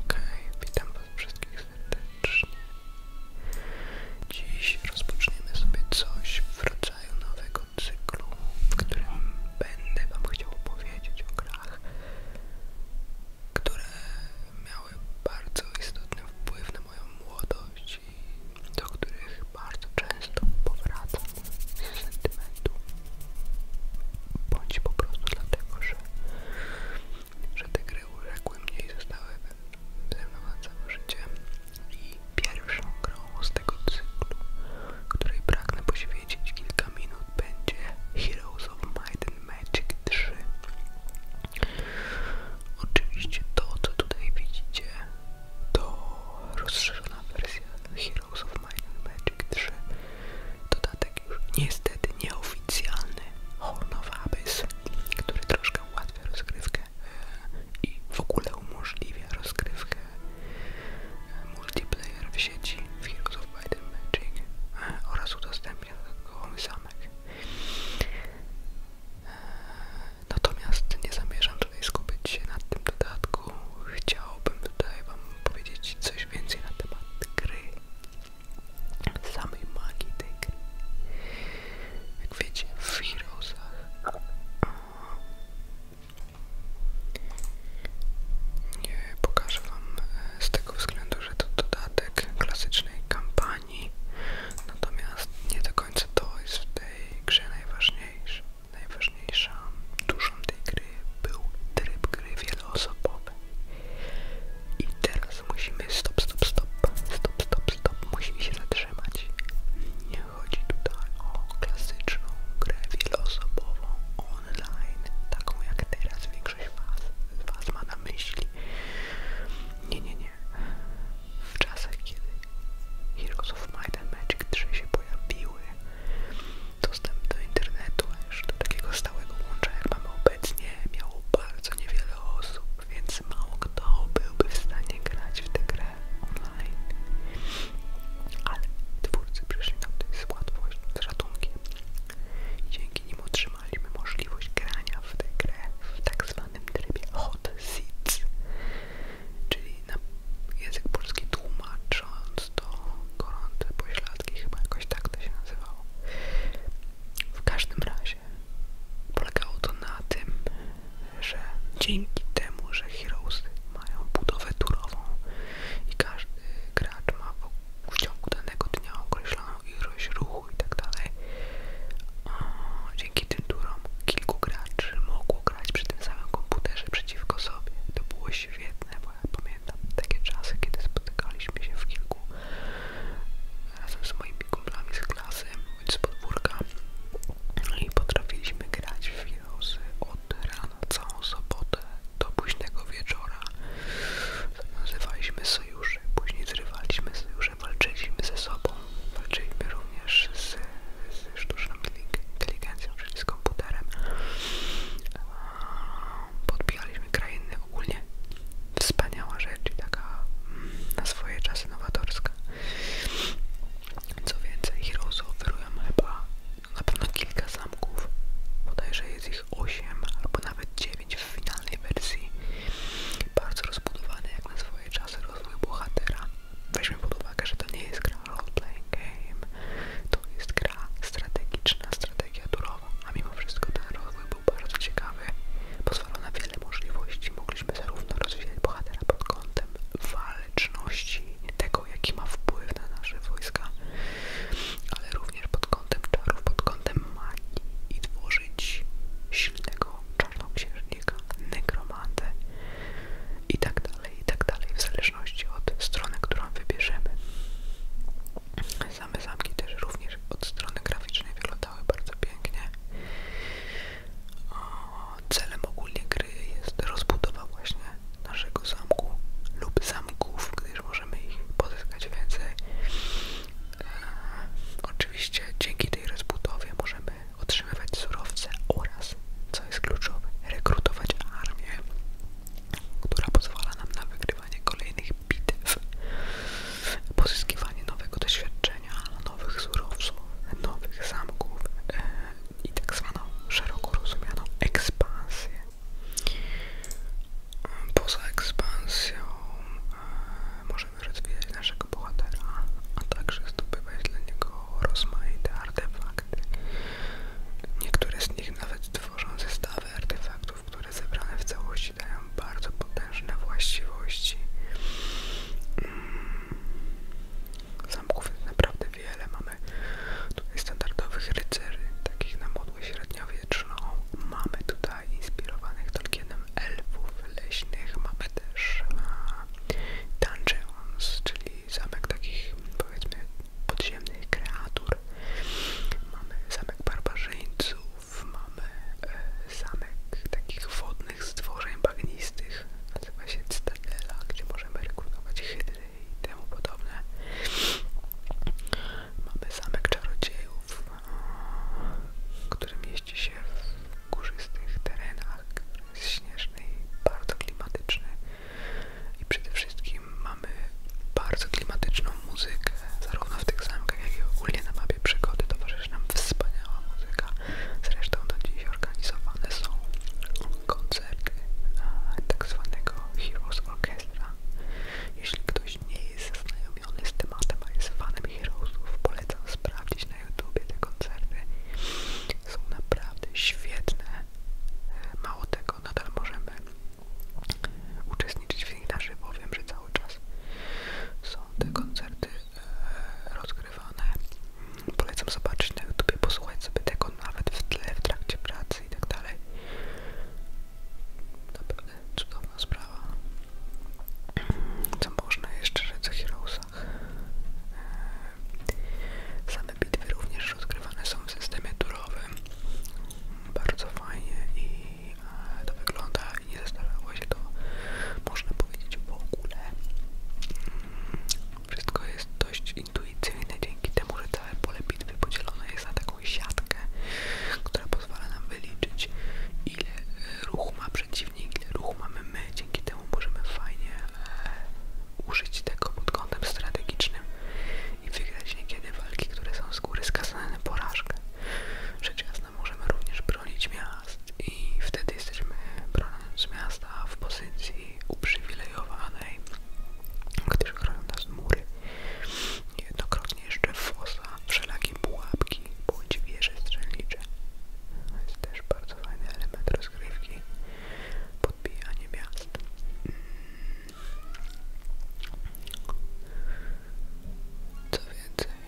Okej, witam wszystkich serdecznie. Dziś rozpoczniemy sobie coś w rodzaju nowego cyklu, w którym będę wam chciał opowiedzieć o grach, które miały bardzo istotny wpływ na moją młodość i do których bardzo często powracam z sentymentu bądź po prostu dlatego, że, że te gry uległy mnie i zostały ze mną na całe życie i pierwszą grą z tego cyklu, której pragnę poświęcić kilka minut będzie Heroes of Might and Magic 3 Oczywiście to, co tutaj widzicie, to rozszerzona wersja Heroes of Might and Magic 3 Dodatek już niestety nieoficjalny Horn of Abyss, który troszkę ułatwia rozgrywkę e, i w ogóle umożliwia rozgrywkę e, multiplayer w sieci w Heroes of e, oraz udostępnia dodatkowy zamek. Natomiast nie zamierzam tutaj skupić się na tym dodatku. Chciałbym tutaj Wam powiedzieć coś więcej na temat gry, samej magii tej gry. Jak wiecie, w Heroesach e, pokażę Wam e, z tego względu, że to dodatek klasycznej kampanii, natomiast nie do końca to jest w tej grze najważniejsze. Najważniejsze najważniejsza dużą tej gry był tryb gry wieloosobowej. I teraz musimy stop, stop, stop, stop, stop, stop, musimy się zatrzymać. Nie chodzi tutaj o klasyczną grę wieloosobową online, taką jak teraz większość was, was ma na myśli. Nie, nie, nie. W czasach, kiedy Heroes of Might and Magic 3 się pojawiły, dostęp do internetu, a już do takiego stałego łącza jak mamy obecnie miało bardzo niewiele osób, więc mało kto byłby w stanie grać w tę grę online. Ale twórcy przyszli nam to z łatwość, z ratunkiem. Dzięki nim otrzymaliśmy możliwość grania w tę grę w tak zwanym trybie hot seats, czyli na język polski tłumacząc to gorące pośladki, chyba jakoś tak to się nazywało. W każdym razie polegało to na tym, że dzięki temu, że Heroesy mają budowę turową i każdy gracz ma w ciągu danego dnia określoną ilość ruchu i tak dalej, dzięki tym turom kilku graczy mogło grać przy tym samym komputerze przeciwko sobie. To było świetne, bo pamiętam takie czasy, kiedy spotykaliśmy się w kilku razem z moimi kumplami z klasy bądź z podwórka no i potrafiliśmy grać w wirusy od rana całą sobotę do późnego wieczora. Nazywaliśmy sojusze, później zrywaliśmy sojusze, walczyliśmy ze sobą, walczyliśmy również z sztuczną inteligencją, czyli z komputerem. Eee, podbijaliśmy krainy ogólnie. Wspaniała rzecz i taka mm, na swoje czasy nowatorska. Co więcej, Heroes oferują chyba na pewno kilka zamków. że jest ich 8 albo nawet 9 w finalnej wersji. Bardzo rozbudowany, jak na swoje czasy rozwój bohatera. Weźmy pod uwagę, że to nie jest gra Roleplaying game. To jest gra strategiczna, strategia turowa, a mimo wszystko ten rozwój był bardzo ciekawy. Pozwalał na wiele możliwości. Mogliśmy zarówno rozwijać bohatera pod kątem waleczności, tego jaki ma wpływ na nasze wojska, ale również pod kątem czarów, pod kątem magii i tworzyć silnego czarnoksiężnika, nekromantę, i tak dalej, i tak dalej, w zależności od strony, którą wybierzemy. Same zamki też również od strony graficznej wyglądały bardzo pięknie. O, celem ogólnie gry jest rozbudowa właśnie naszego zamku lub zamków, gdyż możemy ich pozyskać więcej. E, oczywiście dzięki tej rozbudowie możemy otrzymywać surowce oraz, co jest kluczowe, rekrutować armię, która pozwala nam na wygrywanie kolejnych bitew, pozyskiwanie nowego doświadczenia, nowych surowców, nowych zamków e, i tak zwaną szeroko rozumianą ekspansję. Poza ekspansją e, możemy rozwijać naszego bohatera, a także zdobywać dla niego rozmaite artefakty. Niektóre z nich nawet tworzą zestawy artefaktów, które zebrane w całości dają bardzo potężne właściwości. Mm. Zamków jest naprawdę wiele. Mamy tutaj standardowych rycerzy, takich na modłę średniowieczną. Mamy tutaj inspirowanych Tolkienem elfów leśnych. Mamy też a, dungeons, czyli i zamek takich powiedzmy podziemnych kreatur. Mamy zamek barbarzyńców, mamy e, zamek takich wodnych stworzeń bagnistych, nazywa się Cytadela, gdzie możemy rekrutować hydry i temu podobne. Mamy zamek czarodziejów, który mieści się górzystych terenach, który jest śnieżny i bardzo klimatyczny. I przede wszystkim mamy bardzo klimatyczną muzykę, zarówno w tych zamkach, jak i ogólnie na mapie przygody towarzyszy nam wspaniała muzyka. Zresztą do dziś organizowane są koncerty tak zwanego Heroes Orchestra. Jeśli ktoś nie jest zaznajomiony z tematem, a jest fanem Heroesów, polecam sprawdzić na YouTubie te koncerty są naprawdę świetne. Mało tego, nadal możemy uczestniczyć w nich na żywo. Wiem, że cały czas są te koncerty e, rozgrywane. Polecam zobaczyć na YouTube, posłuchać sobie tego nawet w tle, w trakcie pracy i tak dalej. Naprawdę cudowna sprawa. Co można jeszcze rzec o Same bitwy również rozgrywane są w systemie turowym. Bardzo fajnie i e, to wygląda i nie zastanawiało się to, można powiedzieć, w ogóle. Mm, wszystko jest dość intuicyjne dzięki temu, że całe pole bitwy podzielone jest na taką siatkę, która pozwala nam wyliczyć ile e, ruchu ma przeciwnik, ile ruchu mamy my, dzięki temu możemy fajnie e, użyć tego pod kątem strategicznym i wygrać niekiedy walki, które są z góry skazane na porażkę. Rzecz jasna możemy również bronić miast i wtedy jesteśmy broniąc miasta w pozycji uprzywilejowanej, gdyż chronią nas mury. Jednokrotnie jeszcze fosa, wszelakie pułapki, budynki bądź wieże strzelnicze. To jest też bardzo fajny element rozgrywki, podbijanie miast. Co więcej,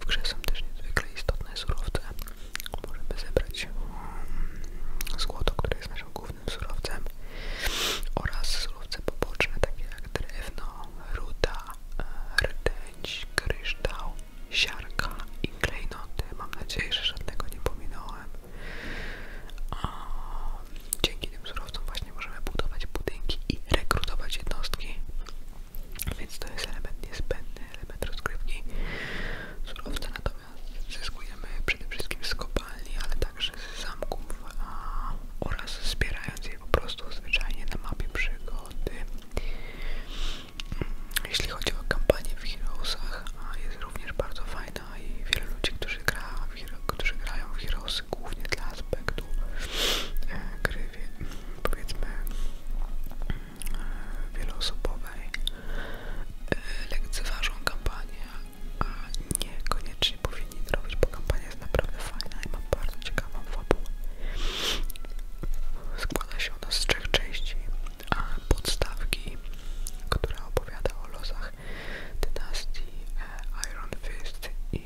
w grze są też niezwykle istotne surowce. Możemy zebrać um, złoto, które jest naszym głównym surowcem oraz surowce poboczne, takie jak drewno, ruda, rdęć, kryształ, siarka i klejnoty. Mam nadzieję, że żadnego nie pominąłem. dzięki tym surowcom właśnie możemy budować budynki i rekrutować jednostki. Więc to jest element niezbędny, element rozgrywki. Surowce natomiast zyskujemy przede wszystkim z kopalni, ale także z zamków a, oraz zbierania znając po prostu zwyczajnie na mapie przygody. Mm, jeśli chodzi o kampanię w Heroesach, jest również bardzo fajna i wiele ludzi, którzy, gra w którzy grają w Heroesy głównie dla aspektu e, gry, powiedzmy, mm, wieloosobowej, e, lekceważą kampanię, a niekoniecznie powinni powinni zrobić, bo kampania jest naprawdę fajna i ma bardzo ciekawą fabułę. Składa się ona z trzech części, podstawki, która opowiada o losach dynastii e, Iron Fist i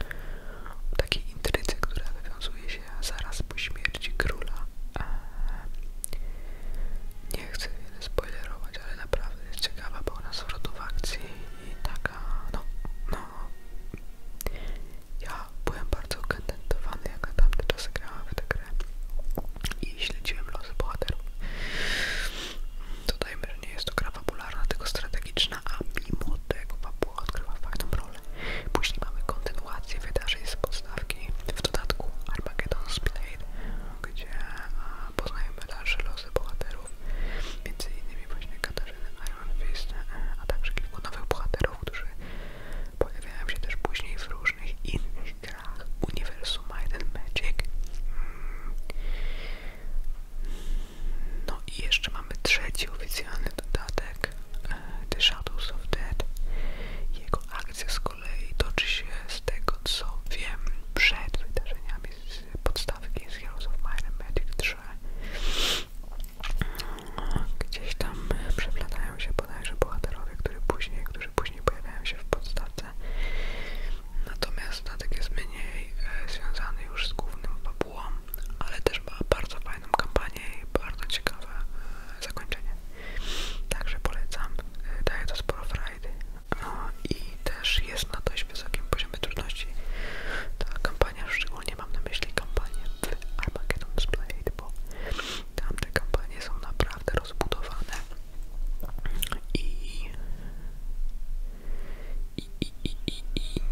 e, takiej intrycy, która wywiązuje się zaraz po śmierci króla. E, nie chcę wiele spoilerować, ale jest ciekawa, bo ona zwrotów akcji i taka, no, no, ja byłem bardzo kontentowany, jak na tamte grałem w tę grę i śledziłem losy bohaterów. Dodajmy, że nie jest to gra fabularna, tylko strategiczna, a mimo tego fabuła odgrywa fajną rolę. Później mamy kontynuację wydarzeń z podstawki, w dodatku Armageddon Spinade gdzie a, poznajemy dalsze losy bohaterów, między innymi właśnie Katarzyny Ironfist, e, a także kilku nowych bohaterów, którzy pojawiają się też później w różnych innych grach uniwersum Might Magic. No i jeszcze mamy trzeci oficjalny dodatek e, The Shadows of Dead. Jego akcja z kolei toczy się z tego co wiem przed wydarzeniami z podstawki z Heroes of Might and Magic 3 gdzieś tam e, przeplatają się bodajże bohaterowie, którzy później, którzy później pojawiają się w podstawce natomiast statek jest mniej e, związany już z głównym fabułą, ale też ma bardzo fajną kampanię i bardzo ciekawe e, zakończenie także polecam, e, daje to sporo frajdy no i też jest na dość wysokim poziomie trudności ta kampania, szczególnie mam na myśli kampanię w Armageddon Splade, bo tamte kampanie są naprawdę rozbudowane i,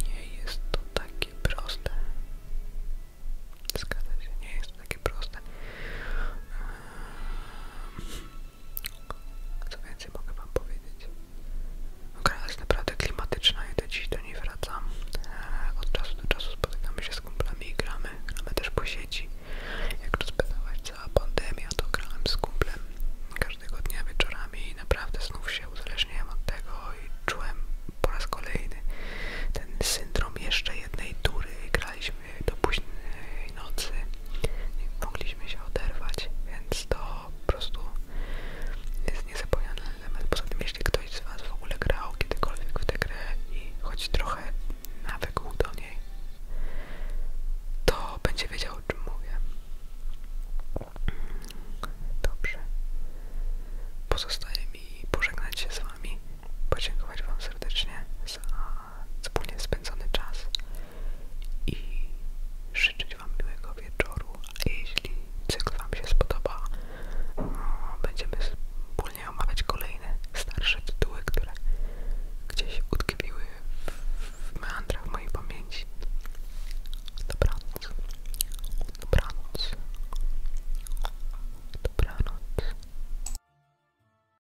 nie jest to takie proste. Zgadza się, nie jest to takie proste. Ehm, co więcej mogę wam powiedzieć? Gra jest naprawdę klimatyczna i do dziś do niej wracam. Eee, od czasu do czasu spotykamy się z kumplami i gramy. Gramy też po sieci. Jak rozpytałaś cała pandemia, to grałem z kumplem każdego dnia wieczorami i naprawdę znów się uzależniałem od tego i czułem po raz kolejny ten syndrom jeszcze jednej tury. Graliśmy do nocy, nie mogliśmy się oderwać, więc to po prostu jest niezapomniany element. Poza tym, jeśli ktoś z Was w ogóle grał kiedykolwiek w tę grę i choć trochę nawykł do niej, to będzie wiedział, o czym mówię. Dobrze. Pozostaje mi pożegnać się z Wami, podziękować Wam serdecznie za wspólnie spędzony czas i życzyć Wam miłego wieczoru, a jeśli cykl Wam się spodoba, będziemy wspólnie omawiać kolejne starsze tytuły, które gdzieś utkwiły w meandrach mojej pamięci. Dobranoc. Dobranoc. Dobranoc.